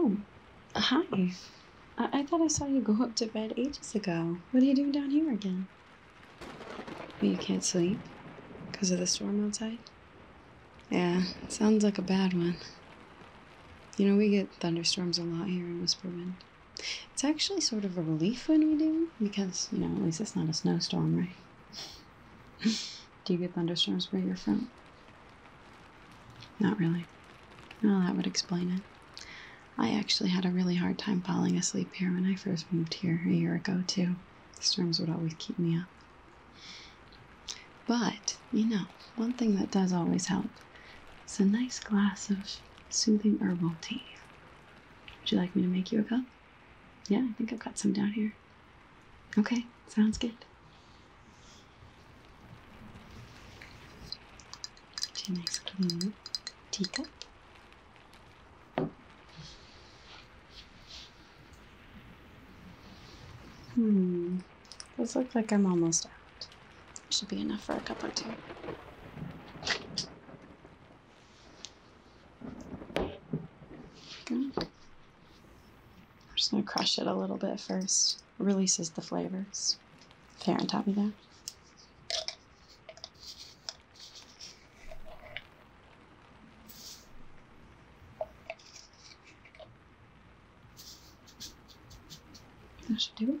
Oh, hi. I, thought I saw you go up to bed ages ago. What are you doing down here again? Oh, you can't sleep? Because of the storm outside? Yeah, sounds like a bad one. You know, we get thunderstorms a lot here in Whisperwind. It's actually sort of a relief when we do, because, you know, at least it's not a snowstorm, right? do you get thunderstorms where you're from? Not really. Oh, that would explain it. I actually had a really hard time falling asleep here when I first moved here a year ago, too. storms would always keep me up. But, you know, one thing that does always help it's a nice glass of soothing herbal tea. Would you like me to make you a cup? Yeah, I think I've got some down here. Okay, sounds good. Tea nice clean teacup. Hmm, those look like I'm almost out. Should be enough for a cup or two. just going to crush it a little bit first. releases the flavors. There on top of that. should do it.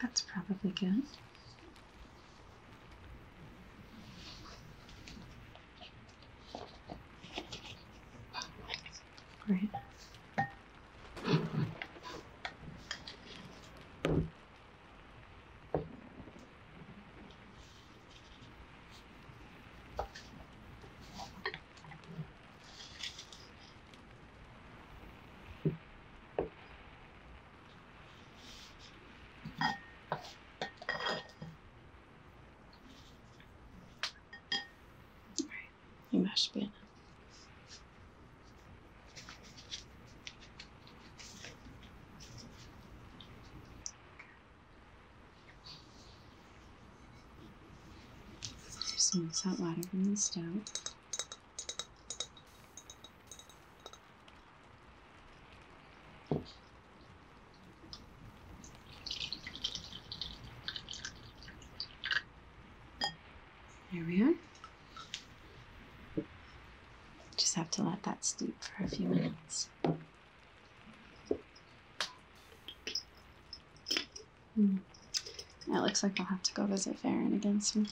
That's probably good. Great you mashed banana. Just mix water from the stove. There we are. Just have to let that steep for a few minutes. Hmm. It looks like I'll have to go visit Farron again soon.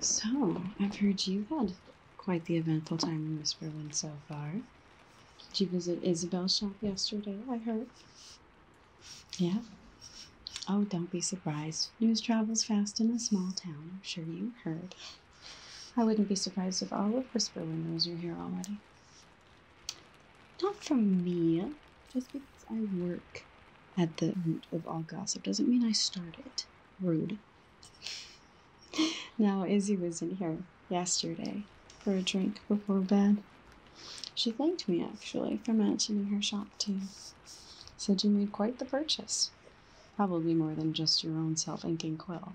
So, I've heard you've had quite the eventful time in Miss Whisperland so far. Did you visit Isabel's shop yesterday, I heard? Yeah. Oh, don't be surprised. News travels fast in a small town. I'm sure you heard. I wouldn't be surprised if all of Whisper Windows are here already. Not from me. Just because I work at the root of all gossip doesn't mean I start it. Rude. now, Izzy wasn't here yesterday for a drink before bed. She thanked me actually for mentioning her shop to you. Said you made quite the purchase. Probably more than just your own self inking quill.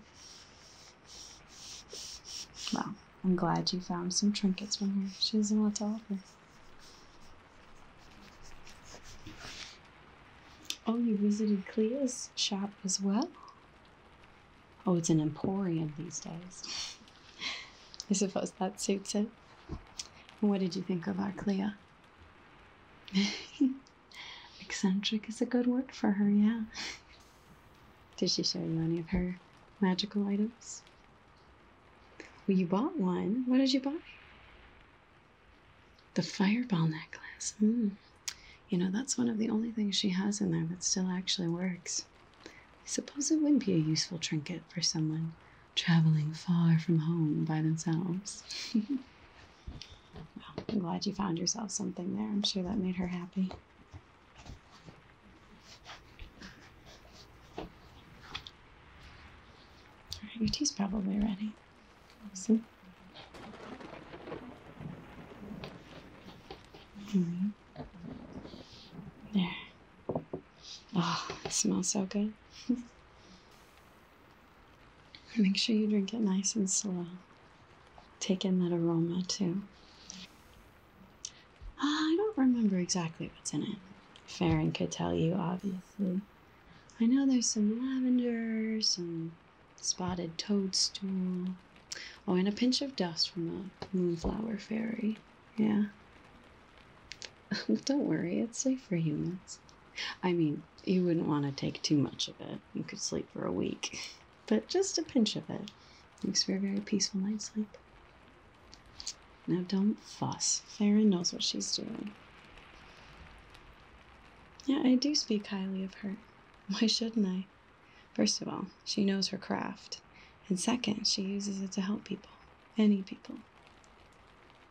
Well, I'm glad you found some trinkets from her. She doesn't want to offer. Oh, you visited Clea's shop as well? Oh, it's an emporium these days. I suppose that suits it. What did you think of our Clea? Eccentric is a good word for her, yeah. Did she show you any of her magical items? Well, you bought one. What did you buy? The fireball necklace. Mm. You know, that's one of the only things she has in there that still actually works. I suppose it would be a useful trinket for someone traveling far from home by themselves. I'm glad you found yourself something there. I'm sure that made her happy. All right, your tea's probably ready. Awesome. Mm-hmm. There. Oh, it smells so good. Make sure you drink it nice and slow. Take in that aroma too. Ah, I don't remember exactly what's in it. Farron could tell you, obviously. I know there's some lavender, some spotted toadstool, Oh, and a pinch of dust from the Moonflower Fairy. Yeah. Don't worry, it's safe for humans. I mean, you wouldn't want to take too much of it. You could sleep for a week. But just a pinch of it makes for a very peaceful night's sleep. Now, don't fuss. Farron knows what she's doing. Yeah, I do speak highly of her. Why shouldn't I? First of all, she knows her craft, and second, she uses it to help people, any people.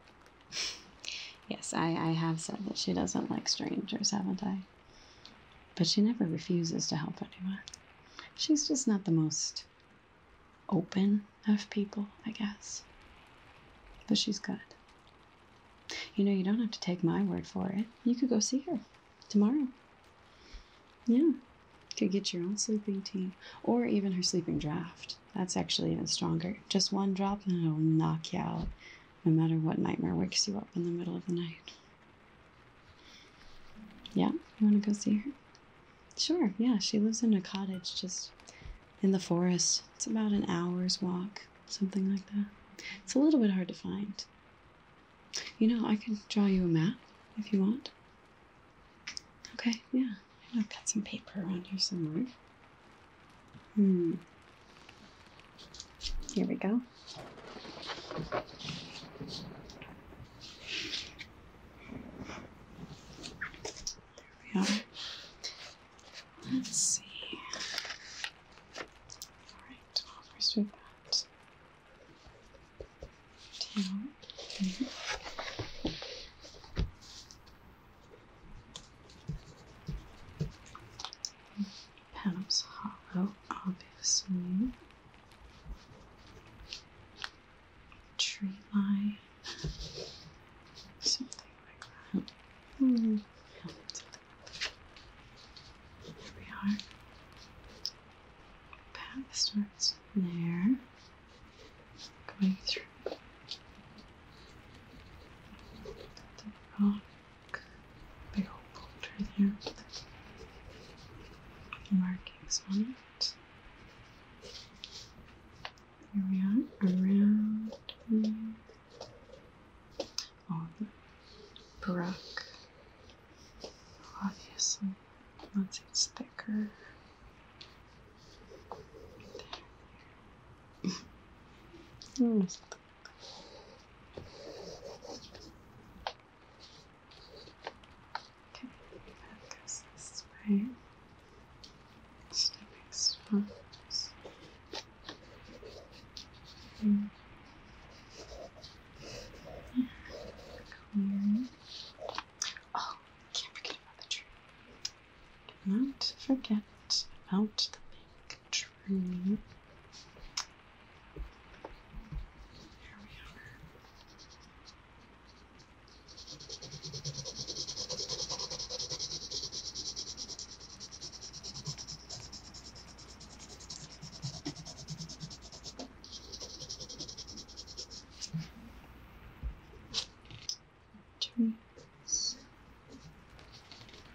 yes, I, I have said that she doesn't like strangers, haven't I? But she never refuses to help anyone. She's just not the most open of people, I guess. But she's good. You know, you don't have to take my word for it. You could go see her tomorrow. Yeah. Could get your own sleeping tea or even her sleeping draft. That's actually even stronger. Just one drop and it'll knock you out, no matter what nightmare wakes you up in the middle of the night. Yeah, you want to go see her? Sure, yeah. She lives in a cottage just in the forest. It's about an hour's walk, something like that. It's a little bit hard to find. You know, I can draw you a map if you want. Okay, yeah. I've got some paper around here somewhere. Hmm. Here we go. There we are. Let's see. Alright, well, first we've got Panels hollow, obviously. Tree line, something like that. Hmm. Here we are. Path starts there, going through the rock, big old boulder there, markings on it. Here we are, around on Barack. Obviously, once it's thicker. There. Okay, that this way. It's the next one. Mm. Clear. Oh, can't forget about the tree. Do not forget about the big tree. Here we are. Trees.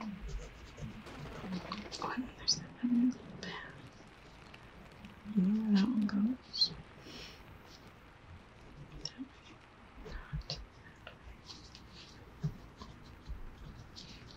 Oh, there's that one where that one goes? That Not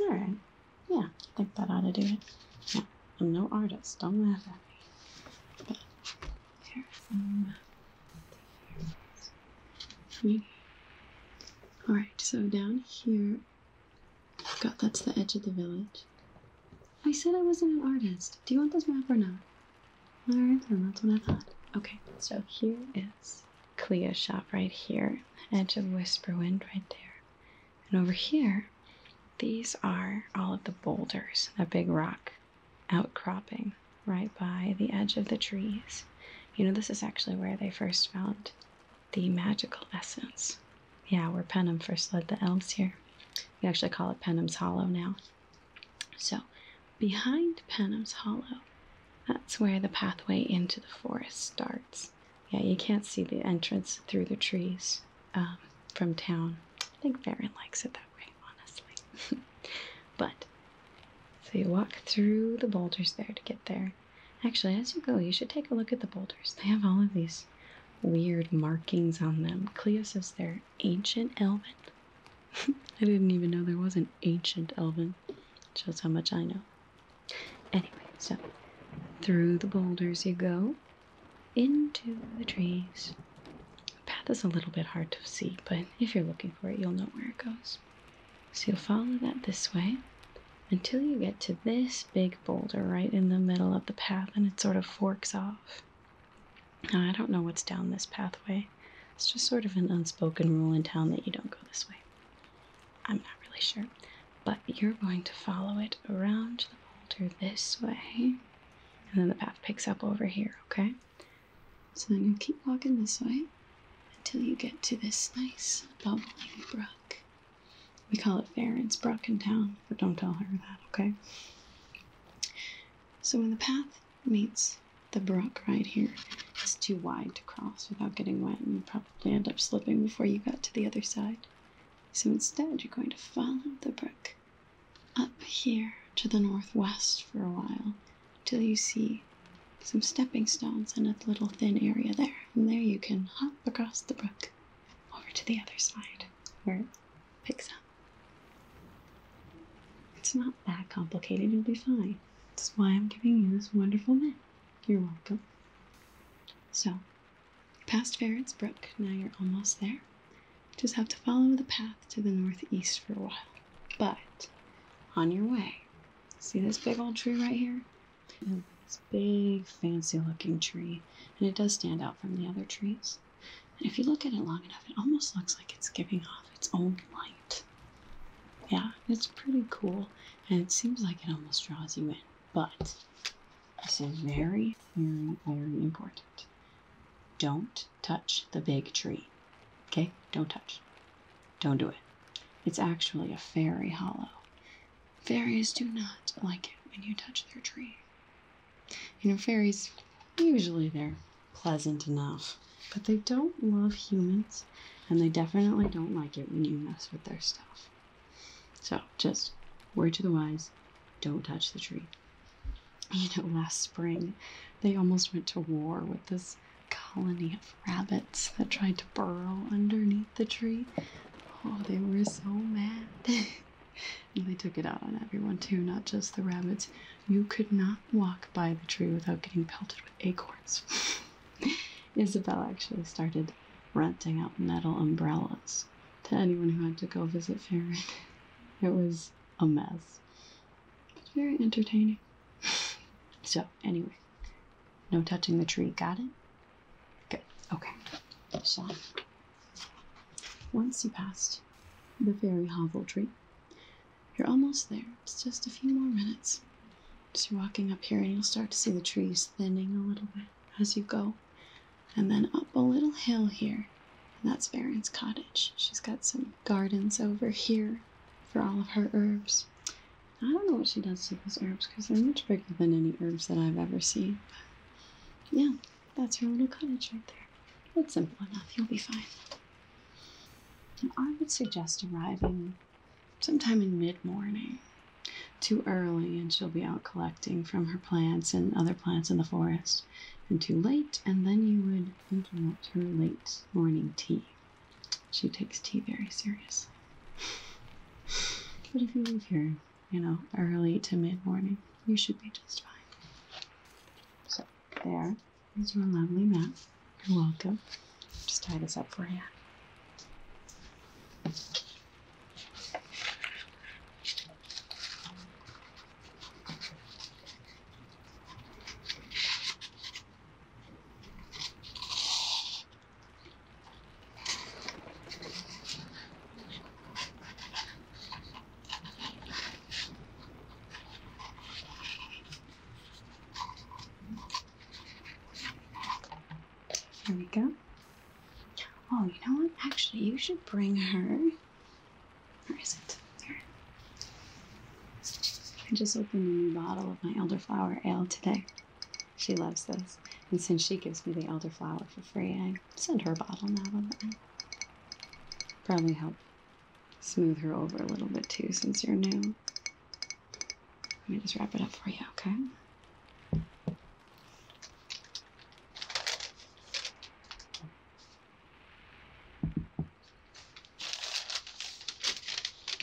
All right. Yeah, I think that ought to do it. Yeah, I'm no artist. Don't laugh at me. But here All right. So down here, i that's the edge of the village. I said I wasn't an artist. Do you want this map or not? Alright, then that's what I thought. Okay, so here is Clea's shop right here, edge of Whisperwind right there. And over here, these are all of the boulders, A big rock outcropping right by the edge of the trees. You know, this is actually where they first found the magical essence yeah, where Penham first led the elves here. We actually call it Penham's Hollow now. So, behind Penham's Hollow, that's where the pathway into the forest starts. Yeah, you can't see the entrance through the trees um, from town. I think Farron likes it that way, honestly. but, so you walk through the boulders there to get there. Actually, as you go, you should take a look at the boulders. They have all of these weird markings on them. Cleo says they're ancient elven. I didn't even know there was an ancient elven. Shows how much I know. Anyway, so through the boulders you go, into the trees. path is a little bit hard to see, but if you're looking for it, you'll know where it goes. So you'll follow that this way, until you get to this big boulder right in the middle of the path and it sort of forks off. Now, I don't know what's down this pathway. It's just sort of an unspoken rule in town that you don't go this way. I'm not really sure. But you're going to follow it around the boulder this way. And then the path picks up over here, okay? So then you keep walking this way until you get to this nice bubbling brook. We call it fair. It's Town, but don't tell her that, okay? So when the path meets the brook right here, it's too wide to cross without getting wet, and you probably end up slipping before you got to the other side. So instead, you're going to follow the brook up here to the northwest for a while till you see some stepping stones in a little thin area there. And there you can hop across the brook over to the other side where it picks up. It's not that complicated, you'll be fine. That's why I'm giving you this wonderful map. You're welcome. So, past Ferret's Brook, now you're almost there. Just have to follow the path to the northeast for a while. But, on your way, see this big old tree right here? this big, fancy looking tree, and it does stand out from the other trees. And if you look at it long enough, it almost looks like it's giving off its own light. Yeah, it's pretty cool, and it seems like it almost draws you in. But this is very, very, very important. Don't touch the big tree. Okay? Don't touch. Don't do it. It's actually a fairy hollow. Fairies do not like it when you touch their tree. You know, fairies, usually they're pleasant enough, but they don't love humans, and they definitely don't like it when you mess with their stuff. So, just word to the wise don't touch the tree. You know, last spring, they almost went to war with this colony of rabbits that tried to burrow underneath the tree Oh, they were so mad. and they took it out on everyone too, not just the rabbits. You could not walk by the tree without getting pelted with acorns. Isabel actually started renting out metal umbrellas to anyone who had to go visit Farron. It was a mess. But very entertaining. so anyway, no touching the tree. Got it? Good. Okay. So Once you passed the fairy hovel tree, you're almost there. It's just a few more minutes. Just walking up here, and you'll start to see the trees thinning a little bit as you go. And then up a little hill here, and that's Baron's cottage. She's got some gardens over here for all of her herbs. I don't know what she does to those herbs because they're much bigger than any herbs that I've ever seen. But yeah, that's her little cottage right there. It's simple enough. You'll be fine. I would suggest arriving sometime in mid morning. Too early, and she'll be out collecting from her plants and other plants in the forest. And too late, and then you would interrupt her late morning tea. She takes tea very serious. But if you leave here, you know, early to mid morning, you should be just fine. So, there is your lovely map. You're welcome. Just tie this up for you. There we go. Oh, you know what? Actually, you should bring her. Where is it? There. I just opened a new bottle of my elderflower ale today. She loves this. And since she gives me the elderflower for free, I send her a bottle now and then. Probably help smooth her over a little bit too since you're new. Let me just wrap it up for you, okay?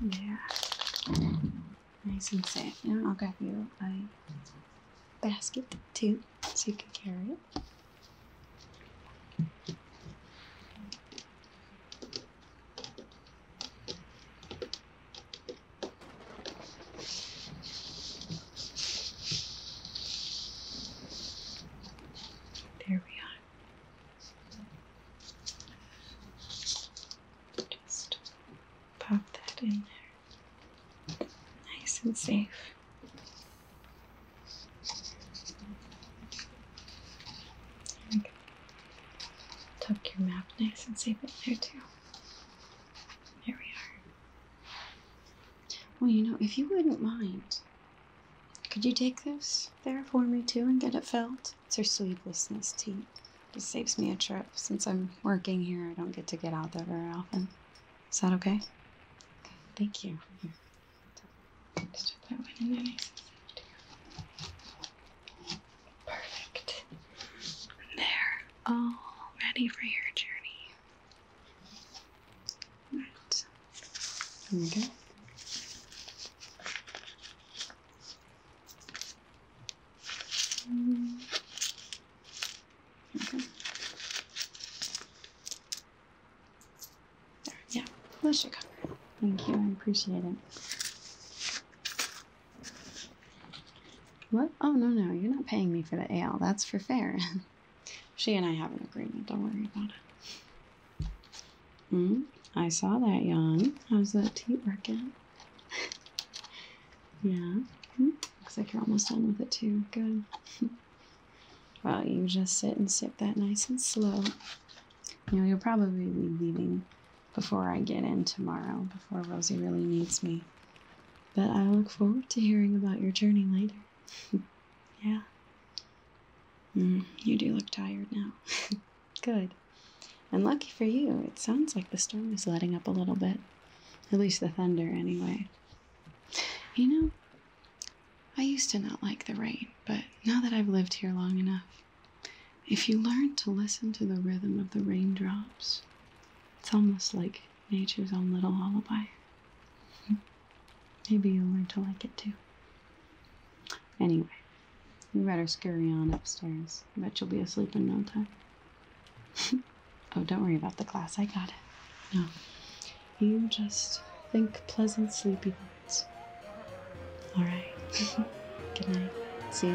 There. Nice and safe. Now I'll grab you a basket too, so you can carry it. There we are. Just pop that in there. Nice and safe. Tuck your map nice and safe in there, too. There we are. Well, you know, if you wouldn't mind, could you take this there for me too and get it filled? It's her sleevelessness tea. It saves me a trip. Since I'm working here, I don't get to get out there very often. Is that okay? okay thank you. Just put that one in there Perfect. There all oh, ready for your journey. All right. Here we go. Mm. Okay. There, yeah, that should cover Thank you, I appreciate it. What? Oh, no, no, you're not paying me for the ale. That's for fair. she and I have an agreement. Don't worry about it. Mm, I saw that yawn. How's that tea working? yeah. Mm-hmm. looks like you're almost done with it, too. Good. well, you just sit and sip that nice and slow. You know, you'll probably be leaving before I get in tomorrow, before Rosie really needs me. But I look forward to hearing about your journey later. yeah. Mm, you do look tired now. Good. And lucky for you, it sounds like the storm is letting up a little bit. At least the thunder, anyway. You know, I used to not like the rain, but now that I've lived here long enough, if you learn to listen to the rhythm of the raindrops, it's almost like nature's own little lullaby. Maybe you'll learn to like it too. Anyway, you better scurry on upstairs. I bet you'll be asleep in no time. oh, don't worry about the glass. I got it. No. You just think pleasant sleepy thoughts. Alright. Good night. See